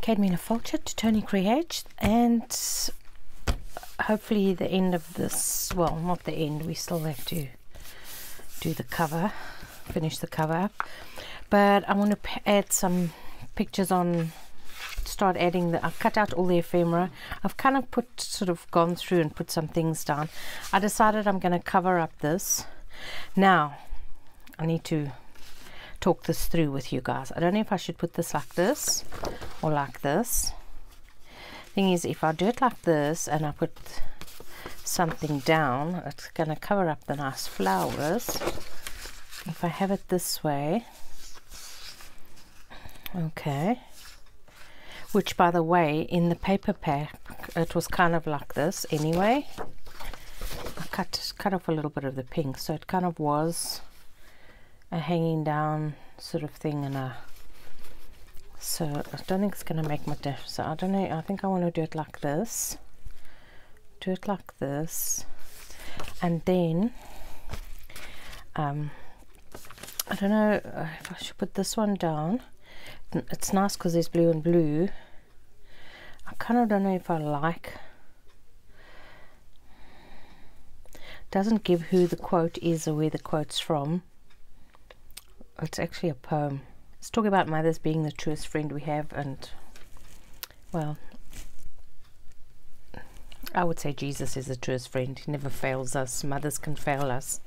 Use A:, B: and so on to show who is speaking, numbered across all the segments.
A: Cadmina Fulcher to Tony Creage and hopefully the end of this well not the end we still have to do the cover finish the cover but I want to add some pictures on start adding the I've cut out all the ephemera I've kind of put sort of gone through and put some things down I decided I'm going to cover up this now I need to talk this through with you guys. I don't know if I should put this like this or like this. Thing is, if I do it like this and I put something down, it's going to cover up the nice flowers. If I have it this way, okay, which by the way, in the paper pack, it was kind of like this anyway. I cut, cut off a little bit of the pink so it kind of was a hanging down sort of thing and a so I don't think it's gonna make much difference I don't know I think I want to do it like this do it like this and then um, I don't know uh, if I should put this one down it's nice because it's blue and blue I kind of don't know if I like doesn't give who the quote is or where the quote's from. It's actually a poem. It's talking about mothers being the truest friend we have, and well, I would say Jesus is the truest friend. He never fails us. Mothers can fail us.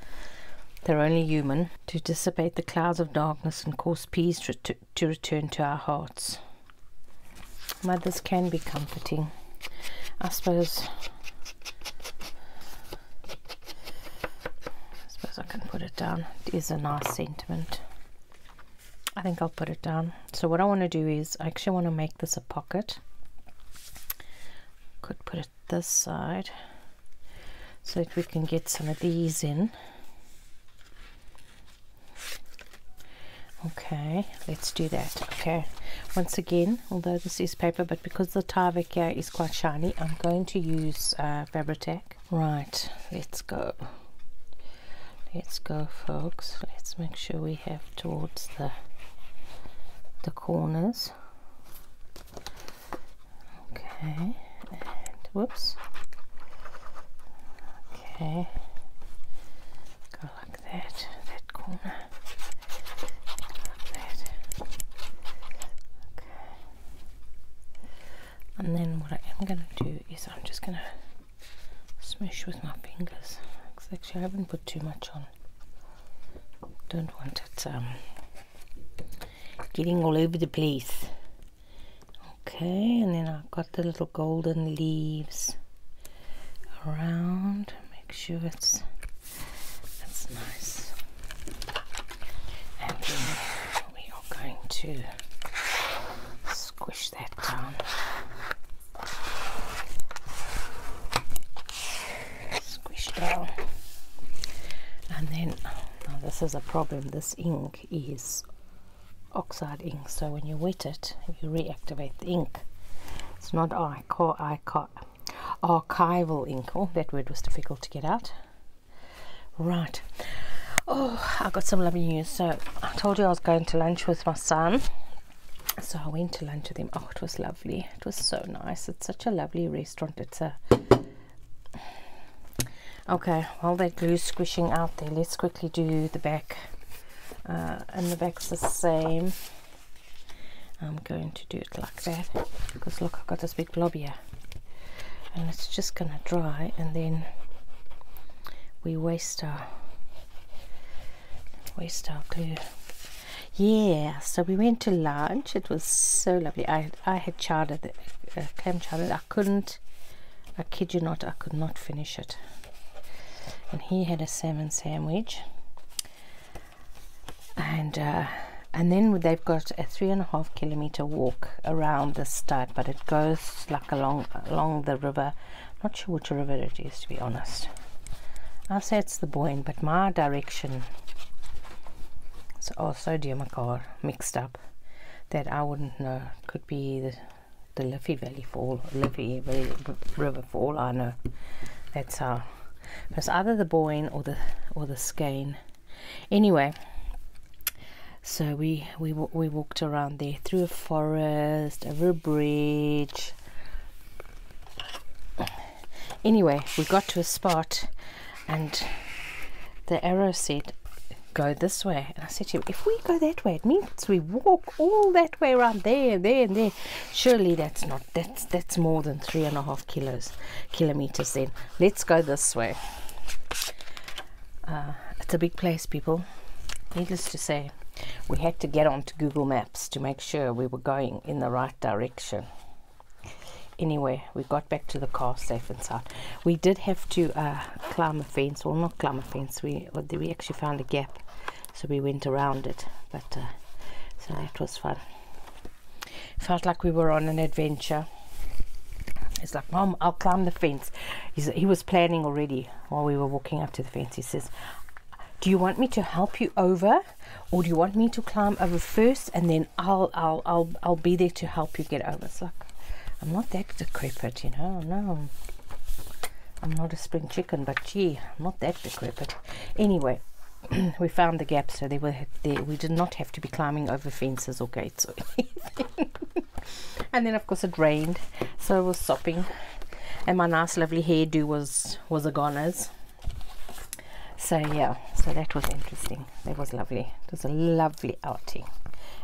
A: They're only human. To dissipate the clouds of darkness and cause peace to to, return to our hearts. Mothers can be comforting. I suppose I suppose I can put it down. It is a nice sentiment. I think I'll put it down. So what I want to do is I actually want to make this a pocket. Could put it this side so that we can get some of these in okay let's do that okay once again although this is paper but because the Tyvek is quite shiny I'm going to use fabric. Uh, Fabritec right let's go let's go folks let's make sure we have towards the the corners okay and whoops Okay, go like that, that corner, like that. Okay, and then what I am going to do is I'm just going to smush with my fingers. actually, I haven't put too much on. Don't want it um, getting all over the place okay and then I've got the little golden leaves around make sure it's it's nice and then we are going to squish that down squish down and then now this is a problem this ink is oxide ink so when you wet it you reactivate the ink it's not archi archi archival ink oh that word was difficult to get out right oh i got some lovely news so i told you i was going to lunch with my son so i went to lunch with him oh it was lovely it was so nice it's such a lovely restaurant it's a okay while that glue squishing out there let's quickly do the back uh, and the back's the same I'm going to do it like that because look I've got this big blob here and it's just gonna dry and then we waste our waste our glue yeah so we went to lunch it was so lovely I, I had chartered the uh, clam chowder I couldn't I kid you not I could not finish it and he had a salmon sandwich. And uh, and then they've got a three and a half kilometer walk around the stud, but it goes like along along the river. Not sure which river it is, to be honest. I'll say it's the Boyne, but my direction is also dear my car mixed up that I wouldn't know. Could be the the Liffey Valley for all, Liffey Valley River for all I know. That's how. it's either the Boyne or the or the Skane. Anyway, so we we we walked around there through a forest, over a bridge. Anyway, we got to a spot, and the arrow said, "Go this way." And I said to him, "If we go that way, it means we walk all that." way around there and there and there surely that's not that's that's more than three and a half kilos kilometers then let's go this way uh, it's a big place people needless to say we had to get onto google maps to make sure we were going in the right direction anyway we got back to the car safe and sound we did have to uh, climb a fence or not climb a fence we we actually found a gap so we went around it but uh, so that was fun felt like we were on an adventure it's like mom I'll climb the fence he was planning already while we were walking up to the fence he says do you want me to help you over or do you want me to climb over first and then I'll I'll I'll, I'll be there to help you get over it's like I'm not that decrepit you know no I'm not a spring but gee, I'm not that But Anyway, we found the gap, so there. We did not have to be climbing over fences or gates and then, of course, it rained, so I was sopping, and my nice, lovely hairdo was was a goner's. So yeah, so that was interesting. That was lovely. It was a lovely outing.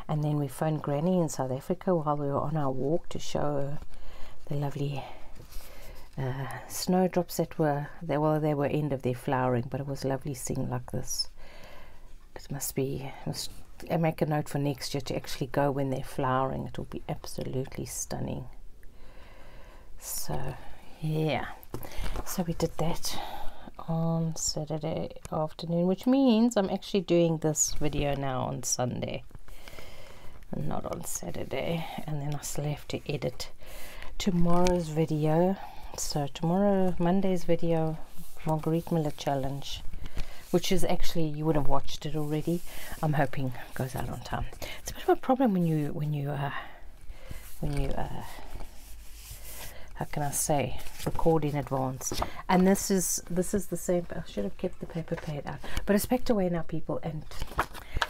A: And then we phoned Granny and so Africa while we were on our walk to show the lovely uh, snowdrops that were they well they were end of their flowering but it was lovely seeing like this it must be I make a note for next year to actually go when they're flowering it will be absolutely stunning so yeah so we did that on Saturday afternoon which means I'm actually doing this video now on Sunday not on Saturday and then I still have to edit tomorrow's video so tomorrow Monday's video Marguerite Miller challenge which is actually you would have watched it already I'm hoping goes out on time it's a bit of a problem when you when you uh, when you uh, how can I say record in advance and this is this is the same should have kept the paper paid out. But it's packed away now, people, and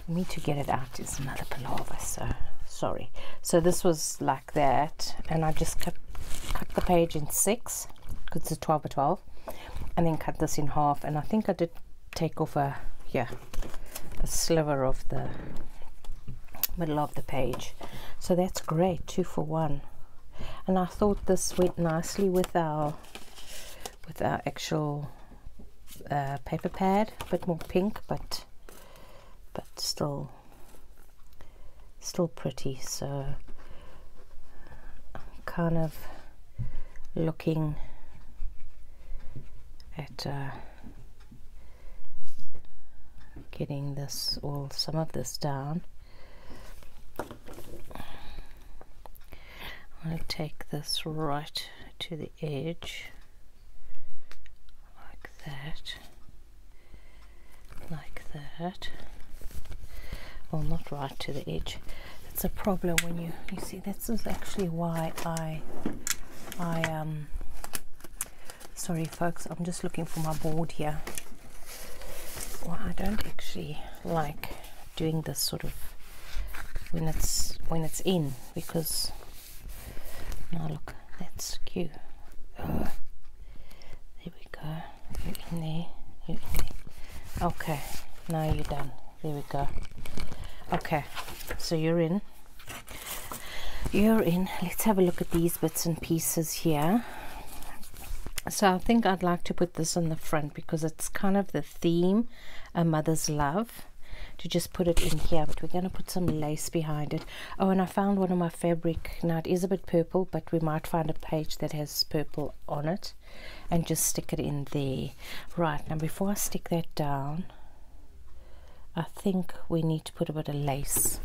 A: me to get it out is another palaver, so sorry. So this was like that, and I just cut, the page in six, because it's 12 by 12, and then cut this in half, and I think I did take off yeah, a sliver of the middle of the page. So that's great, two for one. And I thought this went nicely with our with our actual uh, paper pad a bit more pink but but still still pretty so I'm kind of looking at uh, getting this or some of this down I'm going to take this right to the edge like that like that well not right to the edge it's a problem when you you see this is actually why I I um sorry folks I'm just looking for my board here What I don't actually like doing this sort of when it's when it's in because now look that's cute oh, there we go in there okay now you're done there we go okay so you're in you're in let's have a look at these bits and pieces here so I think I'd like to put this on the front because it's kind of the theme a mother's love to just put it in here but we're going to put some lace behind it oh and i found one of my fabric now it is a bit purple but we might find a page that has purple on it and just stick it in there right now before i stick that down i think we need to put a bit of lace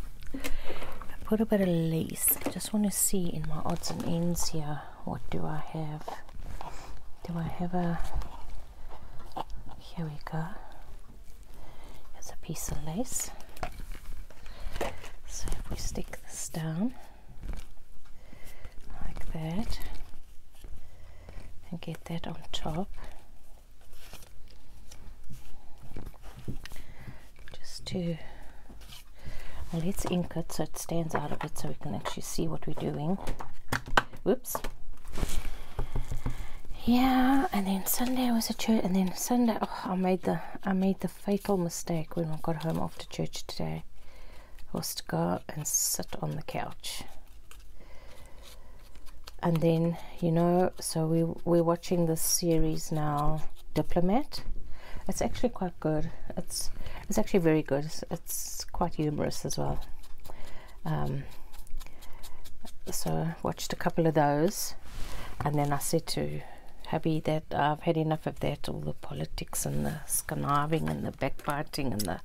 A: put a bit of lace i just want to see in my odds and ends here what do I have? Do I have a, here we go, it's a piece of lace. So if we stick this down like that and get that on top, just to let's ink it so it stands out a bit so we can actually see what we're doing whoops yeah and then sunday was a church and then sunday oh, i made the i made the fatal mistake when i got home after church today was to go and sit on the couch and then you know so we we're watching this series now diplomat it's actually quite good it's it's actually very good it's quite humorous as well. Um, so I watched a couple of those, and then I said to Hubby that I've had enough of that, all the politics and the conniving and the backbiting and the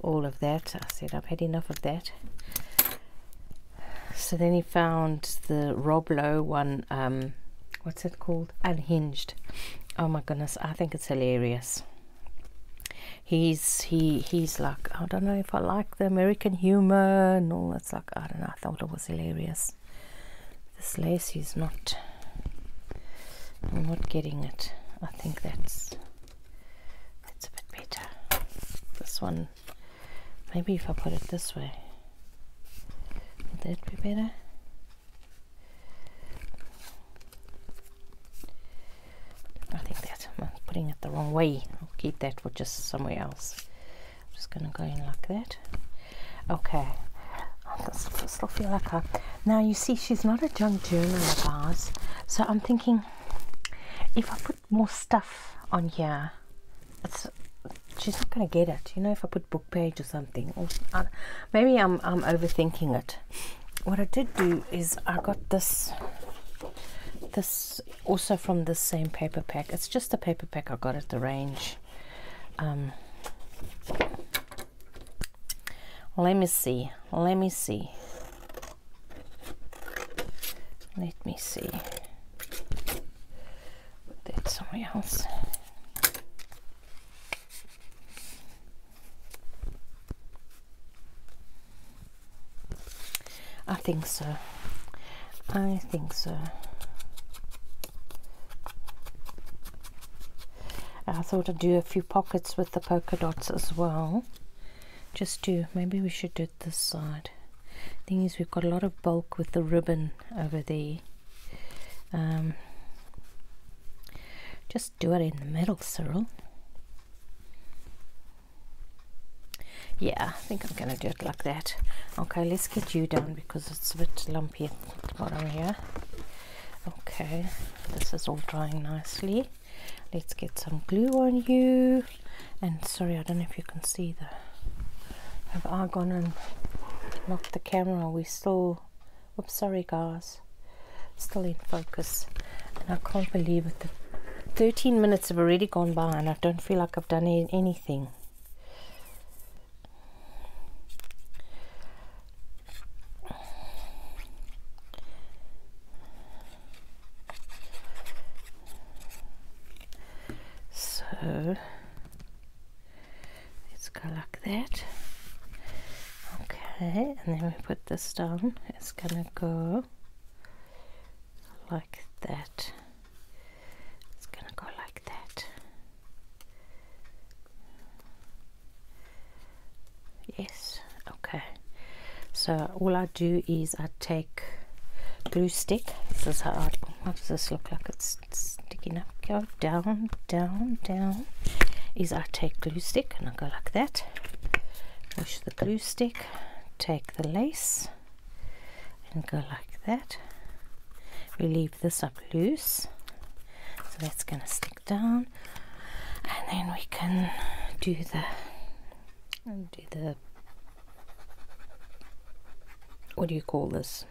A: all of that. I said I've had enough of that. So then he found the Rob Lowe one. Um, what's it called? Unhinged. Oh my goodness, I think it's hilarious. He's he he's like I don't know if I like the American humor and all that's like I don't know. I thought it was hilarious. This lace is not. I'm not getting it. I think that's that's a bit better. This one, maybe if I put it this way, would that be better? I think that's I'm putting it the wrong way. I'll keep that for just somewhere else. I'm just going to go in like that. Okay. I still feel like her. Now you see, she's not a junk journal bars. So I'm thinking, if I put more stuff on here, it's she's not going to get it. You know, if I put page or something. maybe I'm I'm overthinking it. What I did do is I got this this also from the same paper pack. It's just a paper pack I got at the range. Um, let me see. Let me see. Let me see. Put somewhere else. I think so. I think so. I thought I'd do a few pockets with the polka dots as well. Just to, maybe we should do it this side. Thing is, we've got a lot of bulk with the ribbon over there. Um, do it in the middle, Cyril. Yeah, I think I'm gonna do it like that. Okay, let's get you down because it's a bit lumpy at the bottom here. Okay, this is all drying nicely. Let's get some glue on you. And sorry, I don't know if you can see the. Have I gone and locked the camera? We still Oops, sorry guys. Still in focus. And I can't believe it. The 13 minutes have already gone by and I don't feel like I've done anything. So Let's go like that. Okay, and then we put this down. It's gonna go like that. It's gonna go like that. Yes, okay. So all I do is I take glue stick. This is how I, does this look like? It's, sticking up down, down, down, is I take glue stick and I go like that. Push the glue stick, take the lace and go like that. We leave this up loose. So that's going to stick down. And then we can do the do the what do you call this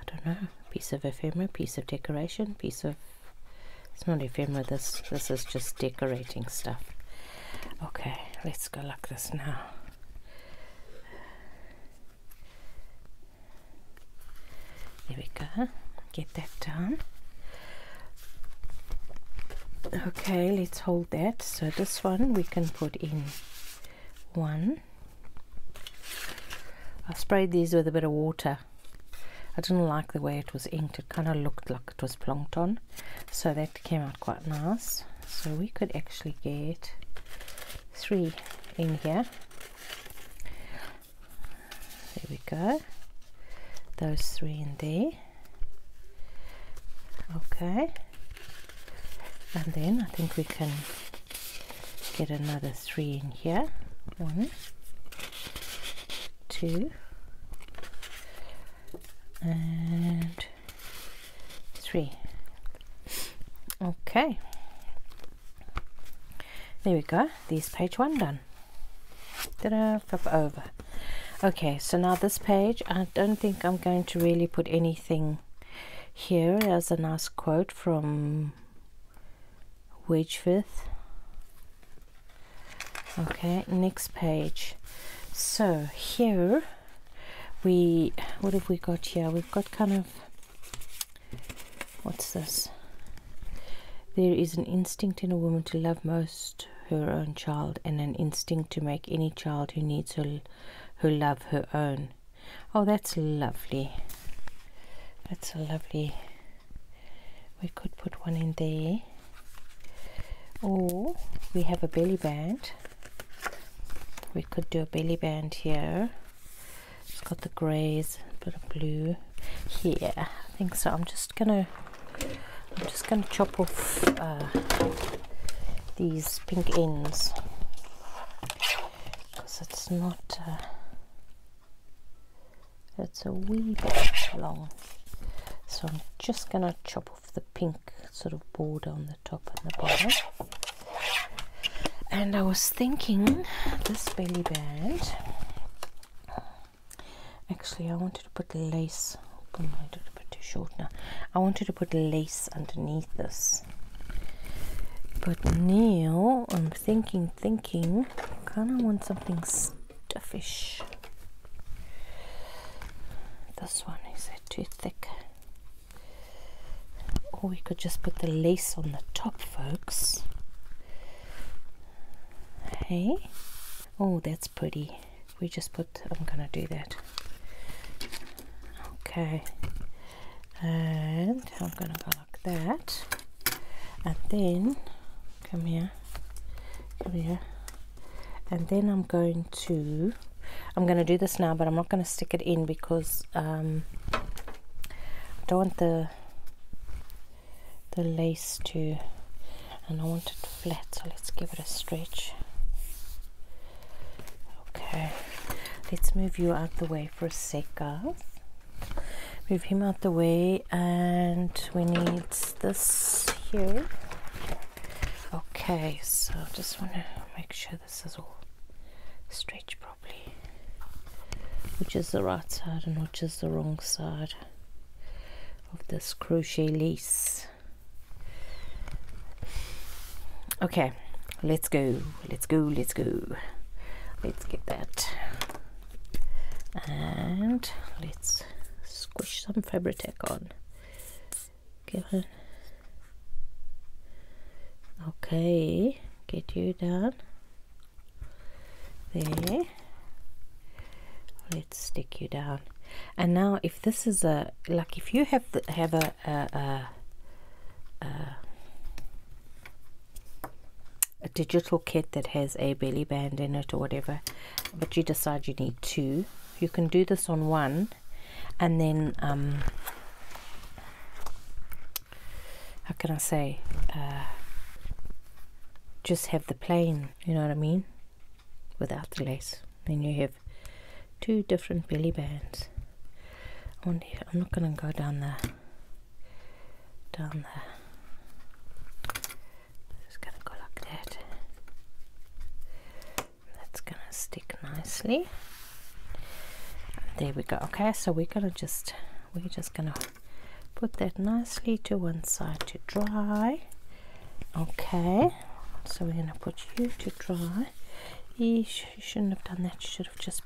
A: I don't know, piece of ephemera, piece of decoration, piece of, it's not ephemera, this, this is just decorating stuff. Okay, let's go like this now. There we go, get that done. Okay, let's hold that. So this one we can put in one, i sprayed these with a bit of water. I didn't like the way it was inked. It kind of looked like it was plankton. So that came out quite nice. So we could actually get three in here. There we go. Those three in there. Okay. And then I think we can get another three in here one two and three okay there we go This page one done ta flip over okay so now this page I don't think I'm going to really put anything here is a nice quote from Wedgworth. Okay, next page. So here we, what have we got here? We've got kind of, what's this? There is an instinct in a woman to love most her own child and an instinct to make any child who needs her, her love her own. Oh, that's lovely. That's lovely. We could put one in there. Or we have a belly band. We could do a belly band here. It's got the greys, a bit of blue. Here, I think so. I'm just gonna I'm just going to chop off uh, these pink ends because it's not uh, it's a wee bit long so I'm just gonna chop off the pink sort of border on the top and the bottom and I was thinking this belly band actually I wanted to put lace oh, I wanted to put too short now I wanted to put lace underneath this. But now I'm thinking, thinking, kind of want something stuffish. This one is it too thick? Or we could just put the lace on the top, folks. Hey, oh, that's pretty. We just put, I'm gonna do that. Okay, and I'm gonna go that and then come here come here and then I'm going to I'm going to do this now but I'm not going to stick it in because um, I don't want the the lace to and I want it flat so let's give it a stretch Okay, let's move you out the way for a sec, guys. Move him out the way, and we need this here. Okay, so just want to make sure this is all stretched properly. Which is the right side and which is the wrong side of this crochet lace. Okay, Okay, let's go, let's go, let's go. Let's get that. And let's squish some Fabri-Tac on. Give it. Okay, get you down. There. Let's stick you down. And now if this is a, like if you have, the, have a, a, a, a a digital kit that has a belly band in it or whatever but you decide you need two you can do this on one and then um, how can I say uh, just have the plain you know what I mean without the lace then you have two different belly bands I am not going to go down there down there. Just gonna go like That's gonna stick nicely. And there we go. Okay, so we're gonna just we're just gonna put that nicely to one side to dry. Okay, so we're gonna put you to dry. you shouldn't have done that. You should have just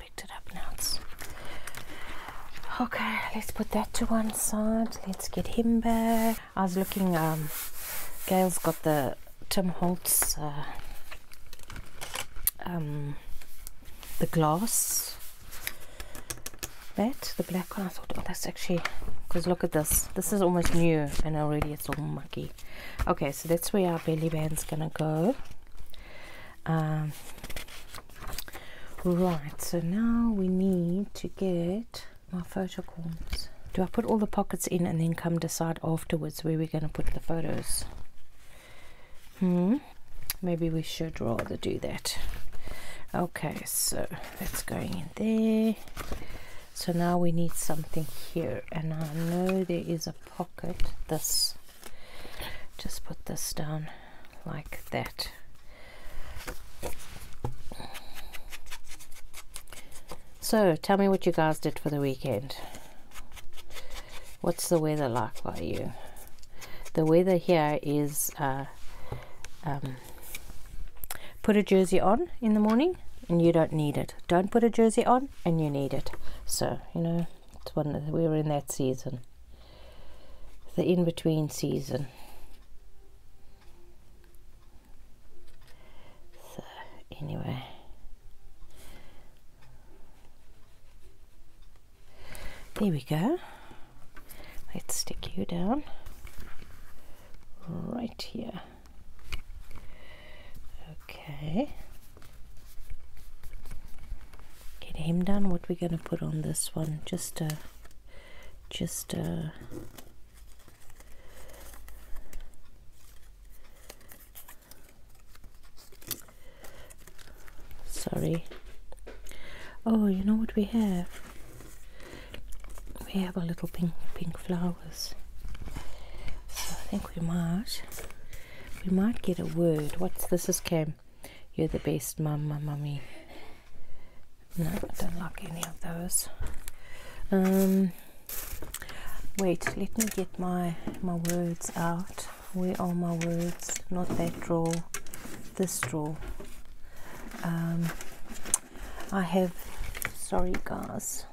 A: okay, let's put that to one side. Let's get him back. I was looking, um, Gail's got the Tim Holtz, uh, um, the glass bat, the black one. I thought, oh, that's actually because look at this this is almost new and already it's all mucky okay so that's where our belly band's gonna go um, right, so now we need to get my photo photocorns. Do I put all the pockets in and then come decide afterwards where we're going to put the photos? Hmm, maybe we should rather do that. Okay, so that's going in there. So now we need something here, and I know there is a pocket, this just put this down like that so tell me what you guys did for the weekend what's the weather like by you the weather here is uh, um, put a jersey on in the morning and you don't need it don't put a jersey on and you need it so you know it's one we were in that season the in-between season. So anyway. There we go. Let's stick you down right here. Okay. Get him done. what we're gonna put on this one just a just a sorry oh you know what we have we have a little pink pink flowers so I think we might we might get a word what's this is Cam you're the best, Mama, Mummy. No, I don't lock any of those. Um, wait, let me get my my words out. Where are my words? Not that draw, this draw. Um, I have, sorry guys,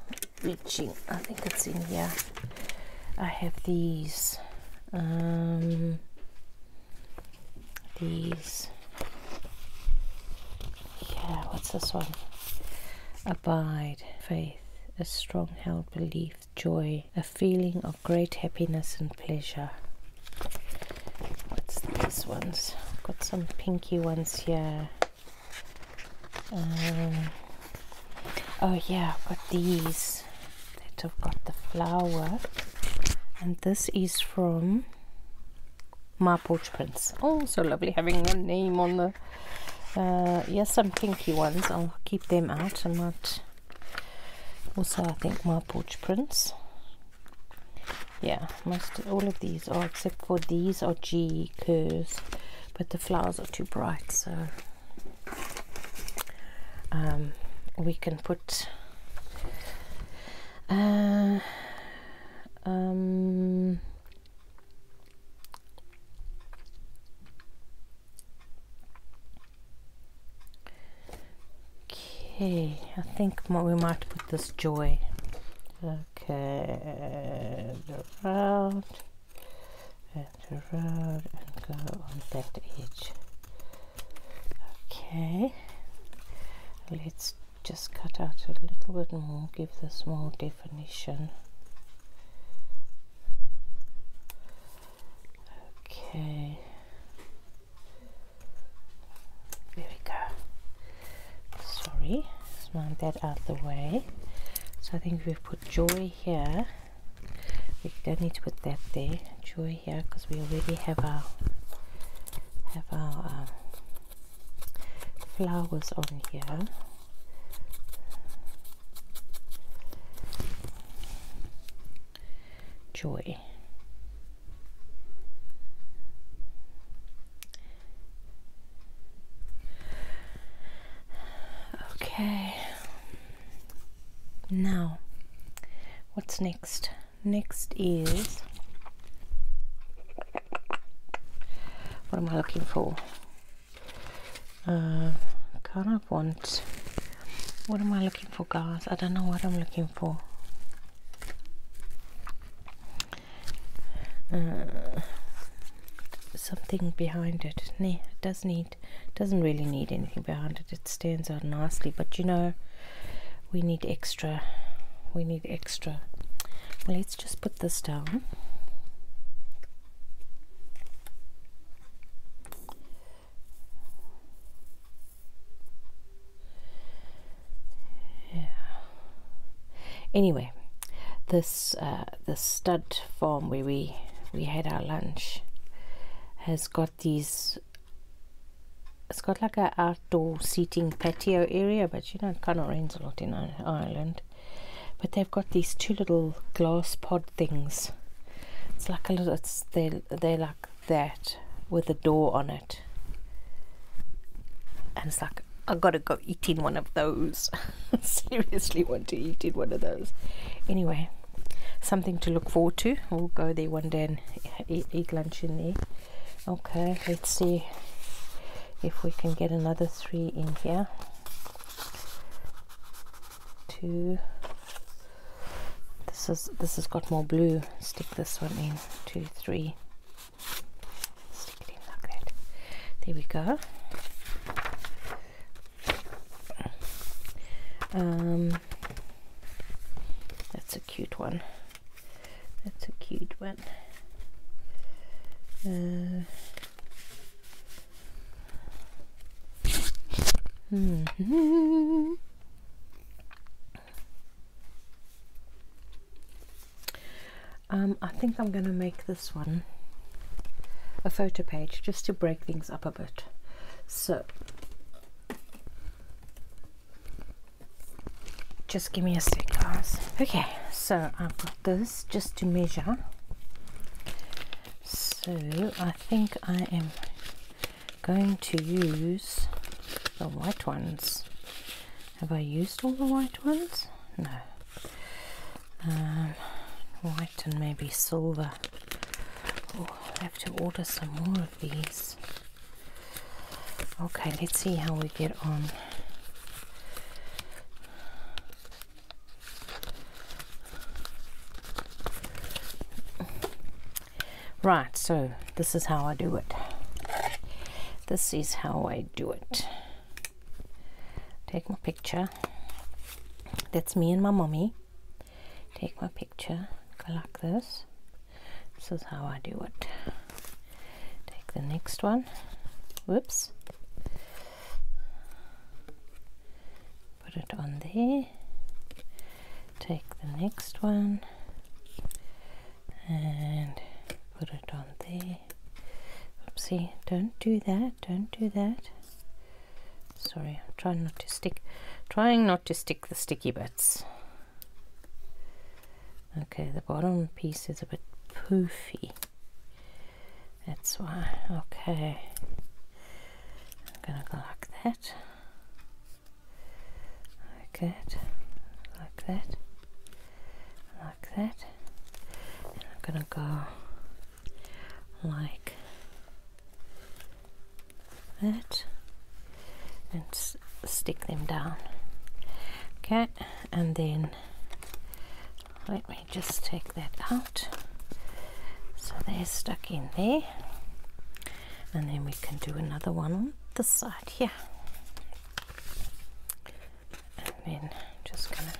A: reaching. I think it's in here. I have these, um, these, yeah, what's this one? Abide, faith, a strong held belief, joy, a feeling of great happiness and pleasure. What's these ones? I've got some pinky ones here. Um, Oh yeah, I've got these that have got the flower. And this is from my porch prints. Oh, so lovely having the name on the... Uh, yes, some kinky ones. I'll keep them out and not... Also, I think my porch prints. Yeah, most all of these are, except for these are G curves. But the flowers are too bright, so... Um, we can put uh, um, okay I think what we might put this joy okay around the road and go on that edge okay let's just cut out a little bit more give this more definition okay there we go sorry let's that out the way so I think we've put joy here we don't need to put that there joy here because we already have our have our um, flowers on here joy okay now, what's next? Next is what am I looking for? Uh, kind of want what am I looking for, guys? I don't know what I'm looking for. Uh, something behind it. Nah, it does need doesn't really need anything behind it it stands out nicely but you know we need extra we need extra let's just put this down yeah. Anyway, this uh, this stud farm where we we had our lunch has got these it's got like an outdoor seating patio area but you know it kind of rains a lot in ireland but they've got these two little glass pod things it's like a little they they're like that with a door on it and it's like I gotta go eating one of those. Seriously, want to eat in one of those. Anyway something to look forward to we'll go there one day and eat, lunch in there okay let's see if we can get another three in here two this is this has got more blue stick this one in two three stick it in like that there we go um that's a cute one. That's a cute one. Uh, -hmm. Um, I think I'm going to make this one a photo page just to break things up a bit. So just give me a sec guys okay so I've got this just to measure so I think I am going to use the white ones have I used all the white ones no um, white and maybe silver i have to order some more of these. Okay, let's see how we get on. Right, so this is how I do it. This is how I do it. Take my picture. That's me and my mommy take my picture go like this this is how I do it take the next one whoops put it on there take the next one and put it on there oopsie don't do that don't do that sorry I'm trying not to stick trying not to stick the sticky bits okay the bottom piece is a bit poofy that's why okay I'm gonna go like that like that like that like that I'm gonna go like that and stick them down okay and then let me just take that out so they're stuck in there and then we can do another one on this side here and then just gonna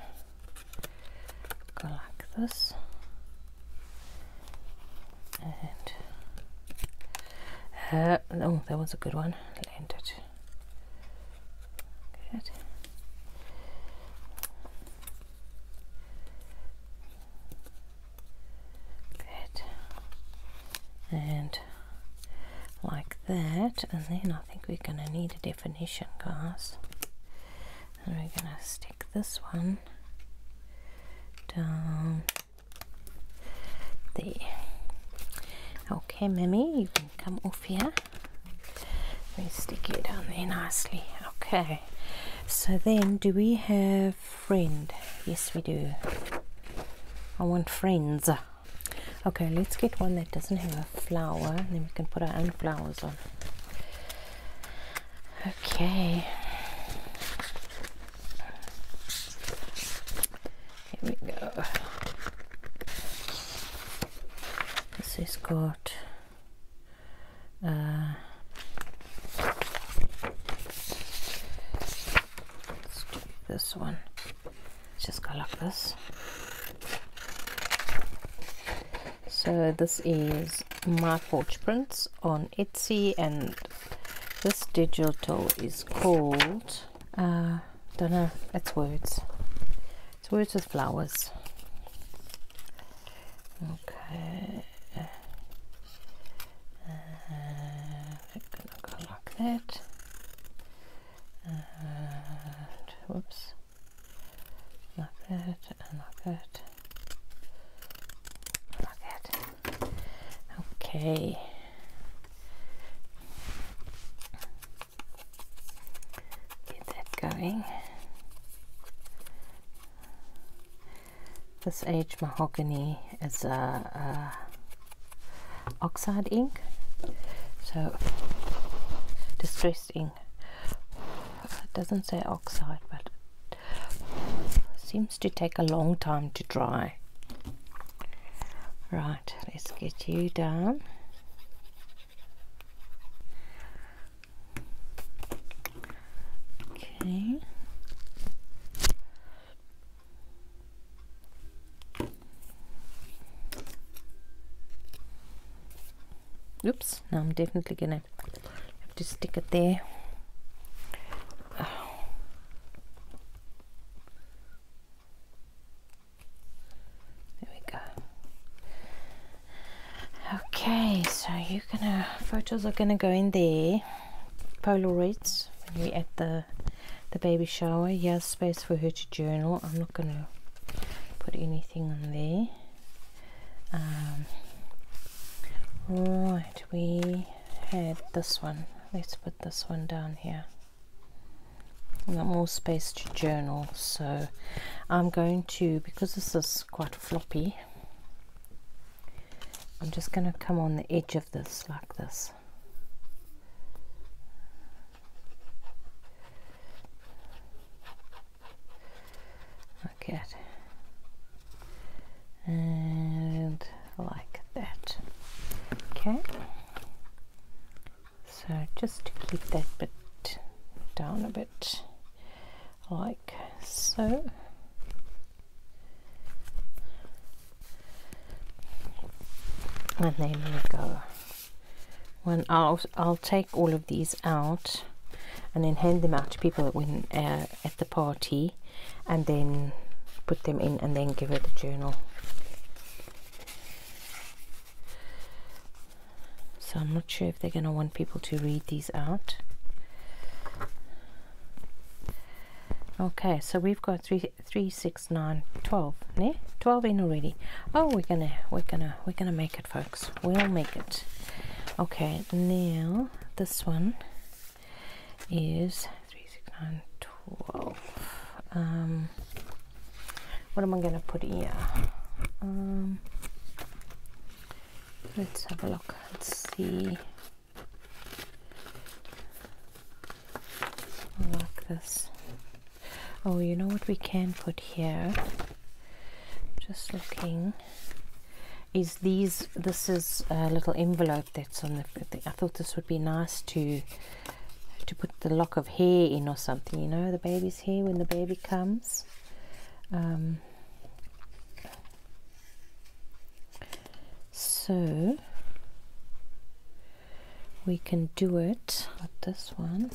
A: go like this and uh, oh that was a good one landed good good and like that and then I think we're gonna need a definition guys and we're gonna this one down there. Okay, Mimi, you can come off here. We stick it down there nicely. Okay, so then do we have friend? Yes, we do. I want friends. Okay, let's get one that doesn't have a flower, and then we can put our own flowers on. Okay. Here we go. This is got uh, let's do this one. Just go like this. So this is my forge prints on Etsy and this digital is called uh, don't know it's words it's words with flowers okay uh, go like that and uh, whoops like that and like that Okay. Get that going. This aged mahogany is a, uh, a uh, oxide ink, so distressed ink. It doesn't say oxide, but Seems to take a long time to dry. Right, let's get you down. Okay. Oops, now I'm definitely gonna have to stick it there there we go okay so you're gonna photos are gonna go in there polaroids we're at the the baby shower Yes, space for her to journal i'm not gonna put anything on there um, right we had this one. Let's put this one down here. got more space to journal, so I'm going to, because this is quite floppy, I'm just going to come on the edge of this like this. Okay and like that okay so just to keep that bit down a bit like so and then we go when I'll, I'll take all of these out and then hand them out to people when uh, at the party and then put them in and then give it the journal so I'm not sure if they're going to want people to read these out okay so we've got three three six nine twelve ne? 12 in already oh we're gonna we're gonna we're gonna make it folks we'll make it okay now this one is three six one twelve. Um, what am I going to put here? Um, let's have a look Let's see. I this. Oh, you know what we can put here? Just looking is these this is a little envelope that's on the I thought this would be nice to to put the lock of hair in or something you know the baby's hair when the baby comes um, so we can do it with this one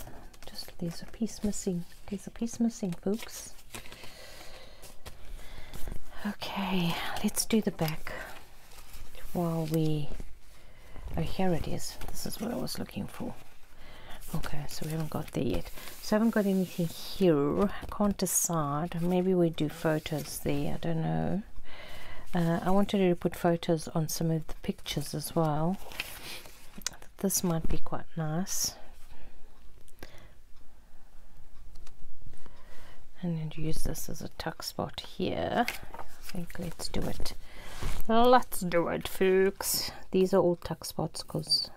A: just there's a piece missing there's a piece missing folks okay let's do the back while we oh here it is this is what I was looking for okay so we haven't got there yet so I haven't got anything here I can't decide maybe we do photos there I don't know uh, I wanted to put photos on some of the pictures as well this might be quite nice and use this as a tuck spot here I think let's do it let's do it folks these are all tuck spots because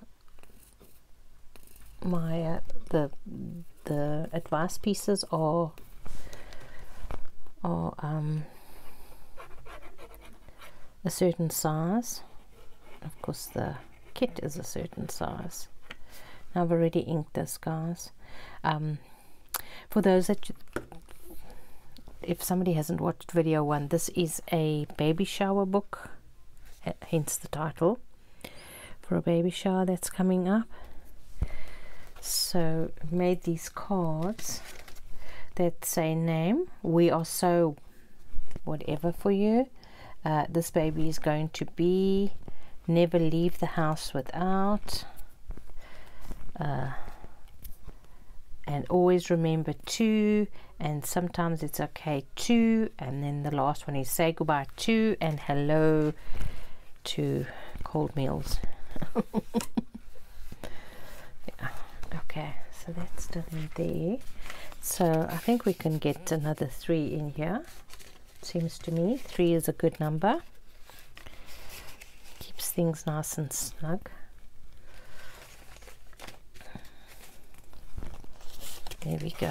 A: my uh, the the advice pieces are are um, a certain size of course the kit is a certain size now I've already inked this this guys um, for those that if somebody hasn't watched video one this is a baby shower book hence the title for a baby shower that's coming up so made these cards that say name we are so whatever for you uh, This this baby is going to be never leave the house without uh, and always remember to and sometimes it's okay to and then the last one is say goodbye to and hello to cold meals okay so that's done there so I think we can get another three in here seems to me three is a good number keeps things nice and snug there we go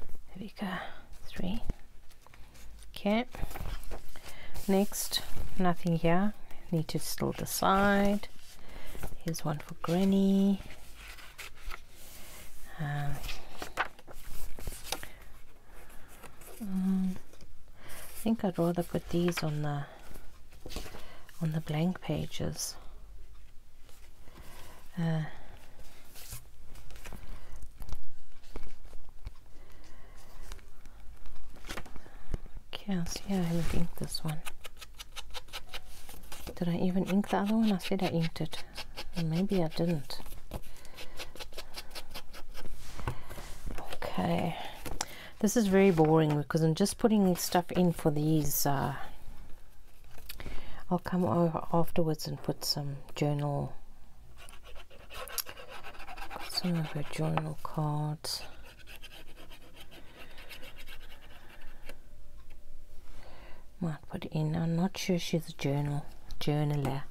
A: there we go three okay next nothing here need to still decide here's one for granny um, mm, I think I'd rather put these on the on the blank pages uh, Yes, yeah, I would ink this one. Did I even ink the other one? I said I inked it. maybe I didn't. Okay. This is very boring because I'm just putting stuff in for these. Uh, I'll come over afterwards and put some journal some of her journal cards. Might put in. I'm not sure she's a journal journaler.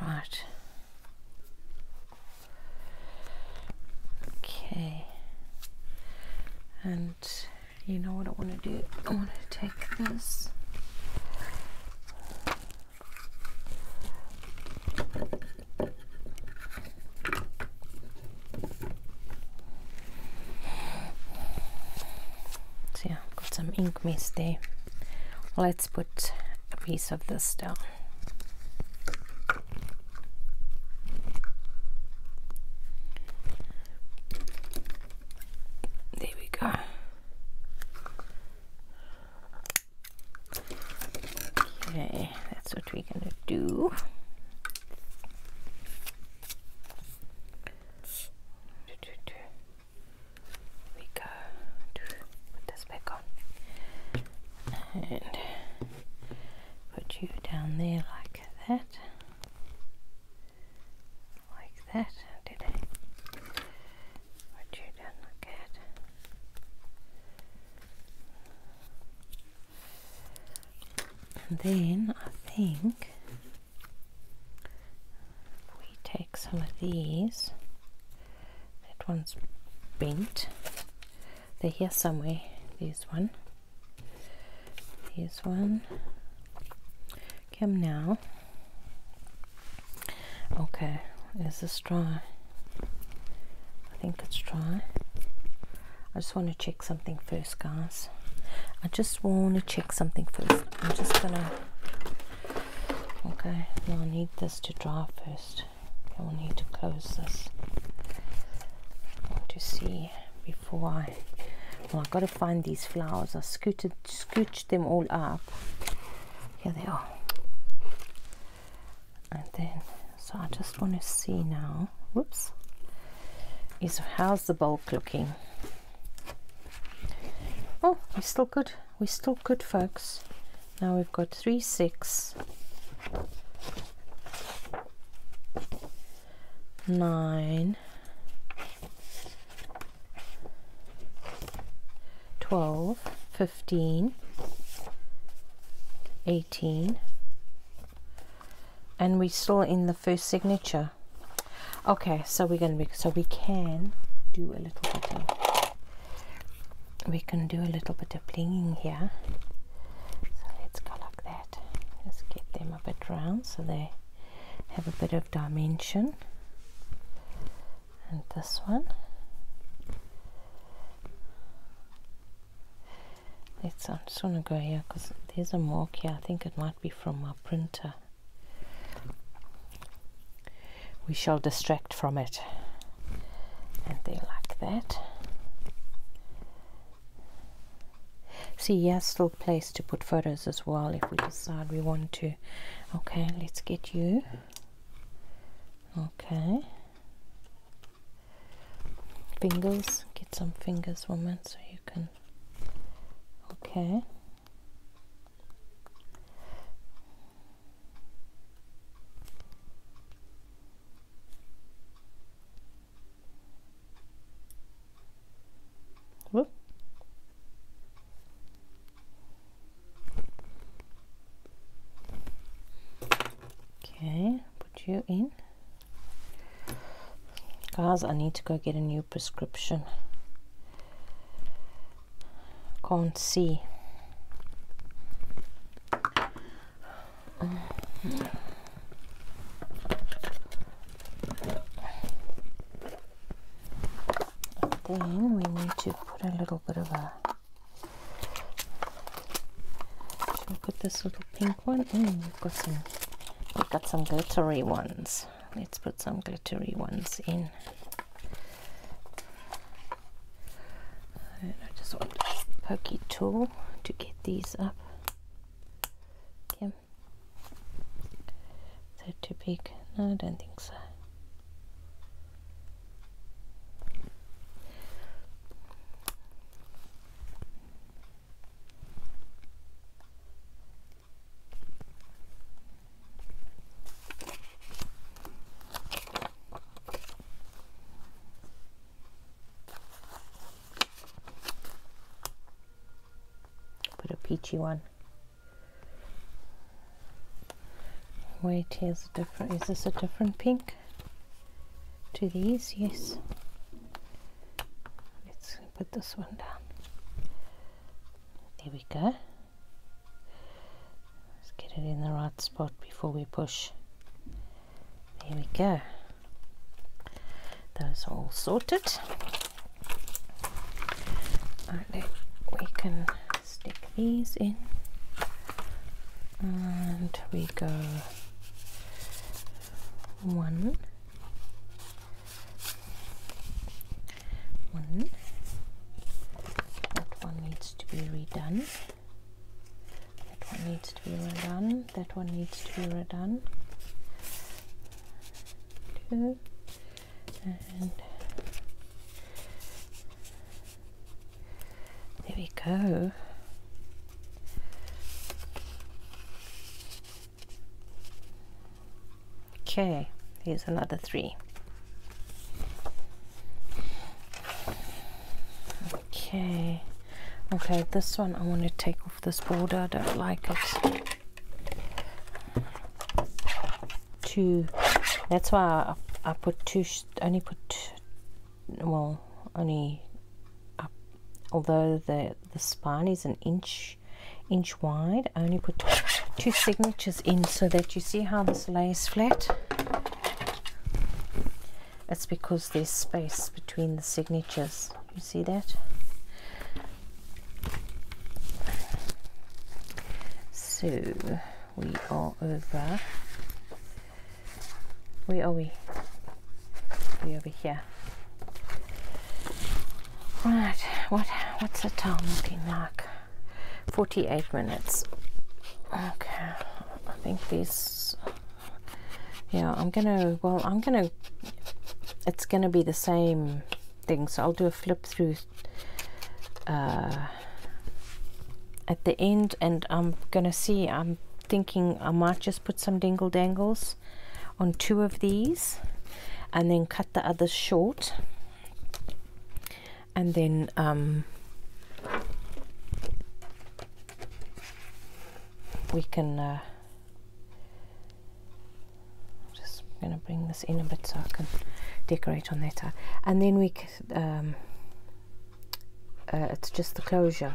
A: Right. Okay. And you know what I want to do? I want to take this. So yeah, I've got some ink mess there. Let's put a piece of this down. There we go. Okay, that's what we're gonna do. We go put this back on and put you down there like that like that, did I? What you done, look at. And then I think we take some of these. That one's bent. They're here somewhere. This one. This one. Kim now. Okay, is this dry? I think it's dry. I just want to check something first, guys. I just want to check something first. I'm just gonna. Okay, now I need this to dry first. I will need to close this. I want to see before I well i got to find these flowers I scooted scooched them all up here they are and then so I just want to see now whoops is how's the bulk looking oh we're still good we're still good folks now we've got three six nine, 12, 15, 18, and we're still in the first signature. Okay, so we're so we can do a little bit of, we can do a little bit of blinging here. So let's go like that. Just get them a bit round so they have a bit of dimension and this one let's I just want to go here because there's a mark here I think it might be from my printer we shall distract from it and they like that see yes little place to put photos as well if we decide we want to okay let's get you okay fingers get some fingers woman so you can okay Whoop. Okay, put you in. Guys, I need to go get a new prescription. Can't see. Then we need to put a little bit of a. Should we put this little pink one? Mm, we've got some. We've got some glittery ones. Let's put some glittery ones in. And I just want a pokey tool to get these up. Okay them. Is it too big? No, I don't think so. Put a peachy one. Wait, here's a different, is this a different pink to these? Yes. Let's put this one down. There we go. Let's get it in the right spot before we push. There we go. Those are all sorted and we can stick these in and we go one one that one needs to be redone that one needs to be redone that one needs to be redone two and there we go okay here's another three okay okay this one I want to take off this border I don't like it two that's why I, put two only put well only uh, although the the spine is an inch inch wide I only put two signatures in so that you see how this lays flat it's because there's space between the signatures you see that so we are over. Where are we? We over here. Right. What? What's the time looking like? Forty-eight minutes. Okay. I think these. Yeah, I'm gonna. Well, I'm gonna. It's gonna be the same things. I'll do a flip through uh, at the end and I'm gonna see I'm thinking I might just put some dingle dangles on two of these and then cut the others short and then um, we can uh, I'm just going to bring this in a bit so I can decorate on that And then we, um, uh, it's just the closure.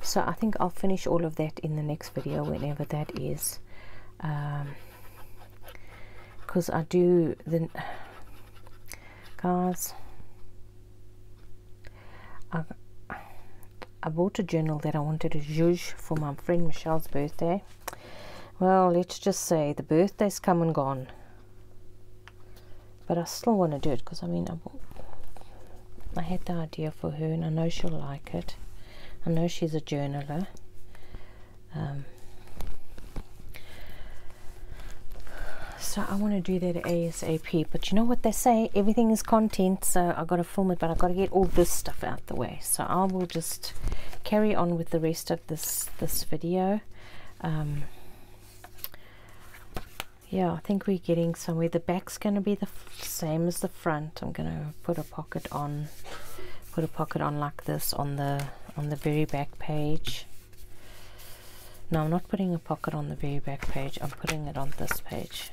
A: So I think I'll finish all of that in the next video whenever that is. Because um, I do, the cards. I, I bought a journal that I wanted to use for my friend Michelle's birthday well, let's just say the birthday's come and gone. But I still want to do it because I mean, I, had the idea for her and I know she'll like it. I know she's a journaler. Um, so I want to do that ASAP. But you know what they say? Everything is content, so I've got to film it, but I've got to get all this stuff out the way so I will just carry on with the rest of this this video um, yeah I think we're getting somewhere the back's going to be the same as the front I'm going to put a pocket on put a pocket on like this on the on the very back page no I'm not putting a pocket on the very back page I'm putting it on this page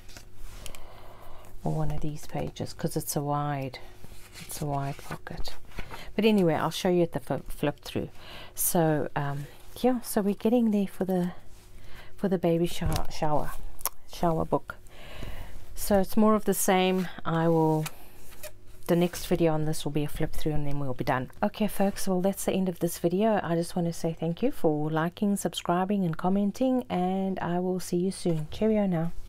A: or one of these pages because it's a wide it's a wide pocket but anyway I'll show you at the flip through so um, yeah so we're getting there for the for the baby shower shower shower book so it's more of the same I will the next video on this will be a flip through and then we'll be done okay folks well that's the end of this video I just want to say thank you for liking subscribing and commenting and I will see you soon cheerio now